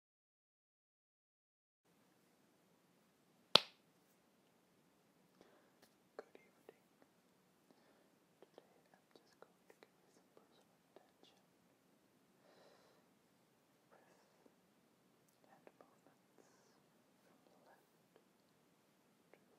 Good evening. Today I'm just going to give you some personal attention with hand movements from the left to right. I hope you'll find relaxing. Firstly,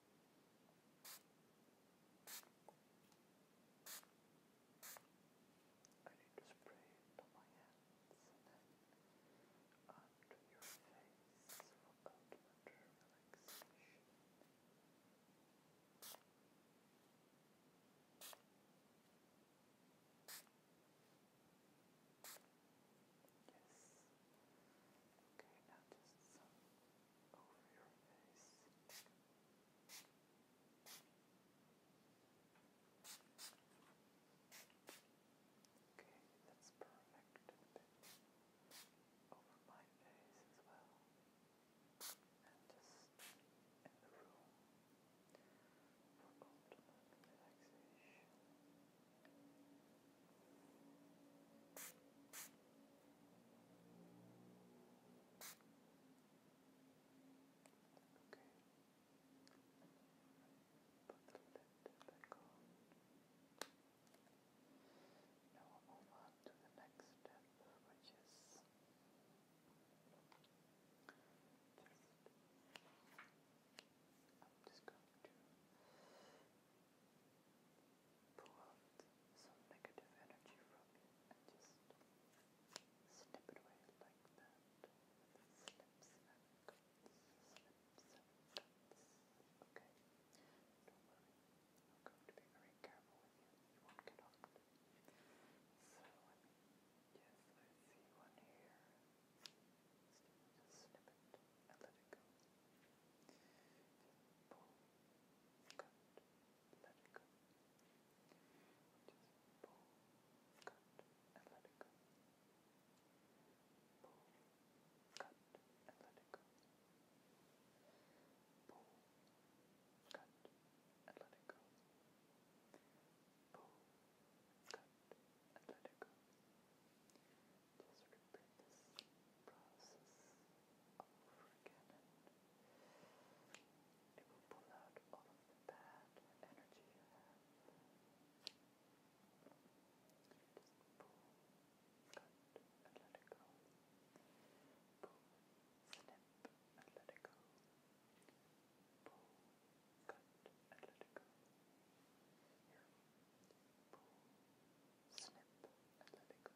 I need to spray it on my hands and then onto your face for ultimate relaxation. Yes. Okay, now just some over your face. Okay, that's perfect. A bit over my face as well. And just in the room for ultimate relaxation. Okay. Put the lid back on. Now we'll move on to the next step, which is just I'm just going to pull out some negative energy from you and just snip it away like that. Snips and snips Okay, don't worry. I'm going to be very careful with you. You won't get off. So, I mean, yes, I see one here. Just snip it and let it go. Cut. Let it go. Just pull, cut, and let it go. Pull, cut, and let it go. Pull, cut, and let it go. Pull, cut, and let it go. Pull, just repeat this process over again and it will pull out all of the bad energy you have. Just pull, cut, and let it go. Pull, snip, and let it go. Pull, cut, and let it go. Here pull, snip, and let it go.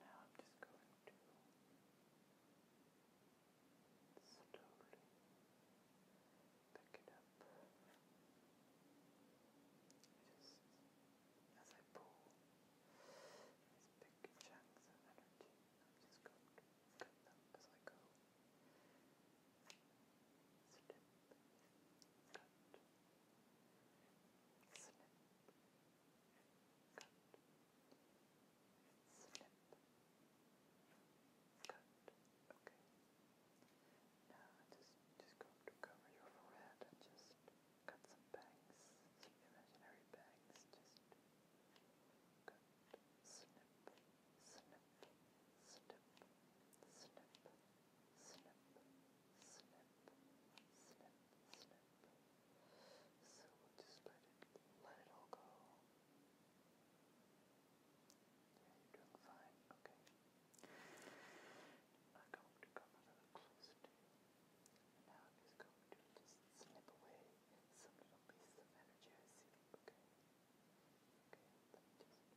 Now I'm just going to slowly pick it up. Just as I pull these big chunks of energy, I'm just going to cut them as I go. Good. Snip. Okay. Now just just go to cover your forehead and just cut some bangs, imaginary bangs. Just good. Snip. Snip. Snip. Snip slip, slip, slip, slip. So we'll just let it, let it all go. Yeah, you're doing fine. Okay. I'm to come a little closer And now i just going to just snip away some little pieces of energy I see. Okay. Okay.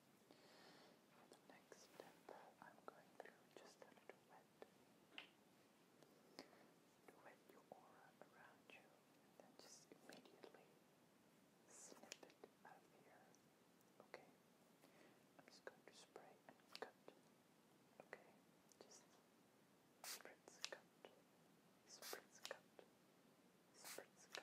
For the next step, I'm going through just a little wet. To wet your aura around you, then just immediately snip it out of here. Okay? I'm just going to spray and cut. Okay? Just spritz cut. Spritz cut. Spritz cut. Spritz cut. Spritz cut.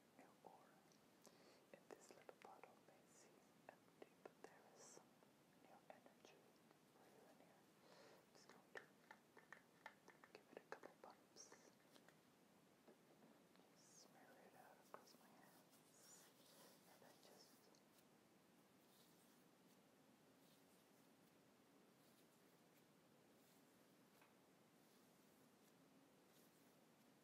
your aura. And this little bottle may seem empty, but there is some new energy for you in here. I'm just going to give it a couple bumps. Just smear it out across my hands. And then just Good.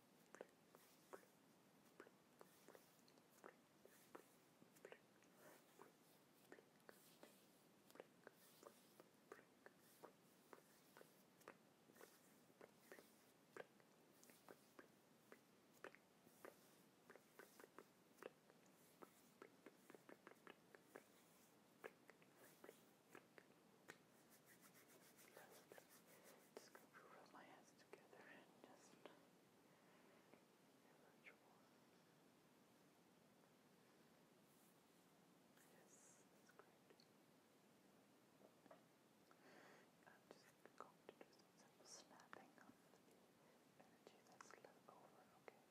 Just going to rub my hand eyes together and just emerge warm. Yes, that's great. I'm just going to do some simple snapping of the energy that's left over, okay?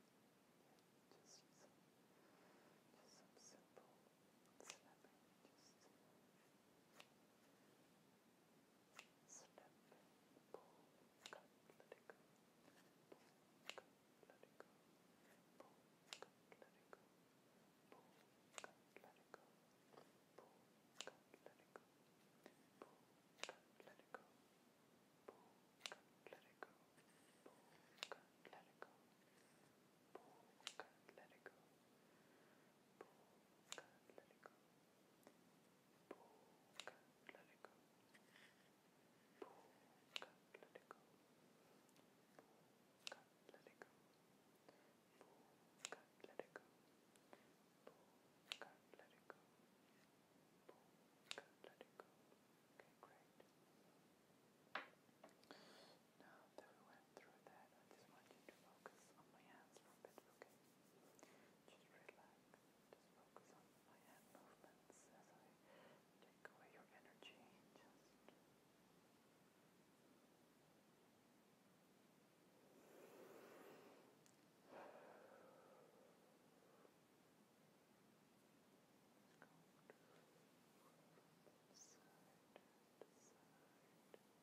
Yeah, just some, just some simple snapping, just. Just Step, pull, cut, let it go. Pull, cut, let it go. Pull, cut, let it go. Pull, cut, let it go. let it go. Pull, let it go. Pull, let it go. Pull, let it go. Pull, let it go. Pull, let it go. Pull, let it go. Pull, let it go. Okay, great. Now that we went through that, I just want you to focus on my hands for a bit, okay? Just relax. Just focus on my hand movements as I take away your energy. Just go to the side, side,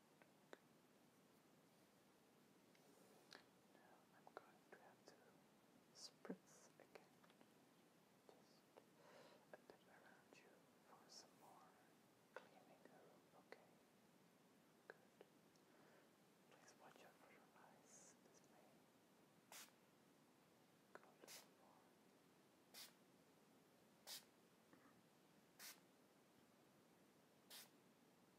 Now I'm going to have to spritz again, just a bit around you for some more cleaning okay? Good. Please watch out for your eyes, this may go a little more.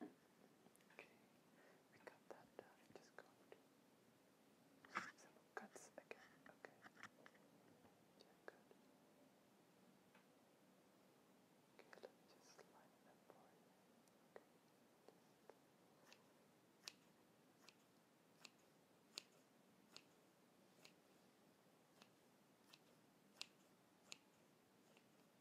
Okay, we got that done. Just go some cuts again. Okay. Yeah, good. Okay, let me just line them for you. Okay. Just.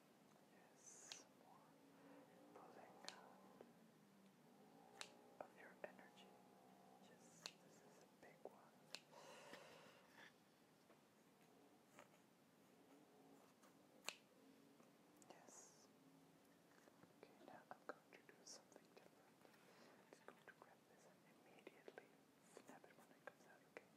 Yes, more pulling of your energy. Yes, this is a big one. Yes. Okay, now I'm going to do something different. I'm going to grab this and immediately snap it when it comes out, Okay.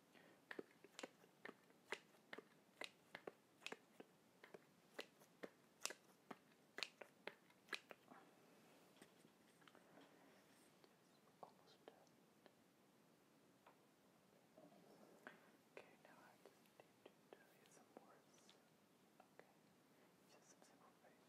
Almost done. Okay, now I just need to tell you some words. Okay, just some simple phrases.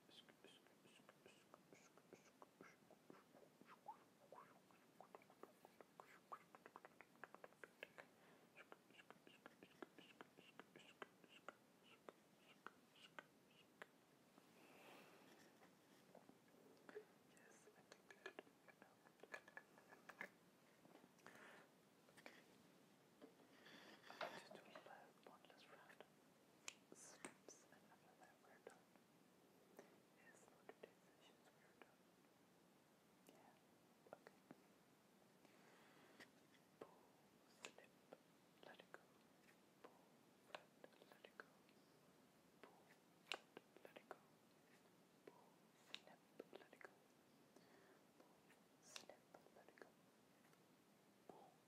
just do a one last round steps, and after that we're done. Yes, for today's sessions Yeah, okay. Pull, slip, let it go. Pull, let, let it go. Pull, let, let it go. Pull, snip, let it go. Pull, snip, let it go. Pull,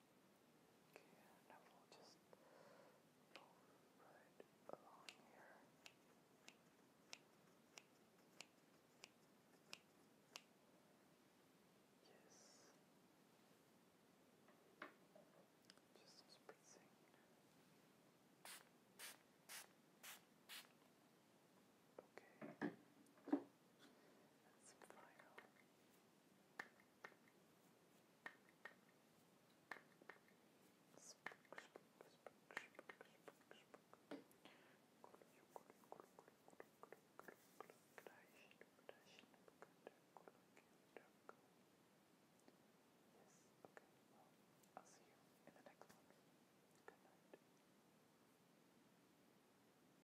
Okay, and will just go right along here. Yes. Just spritzing. Okay. That's final I'll see you in the next one. Good night.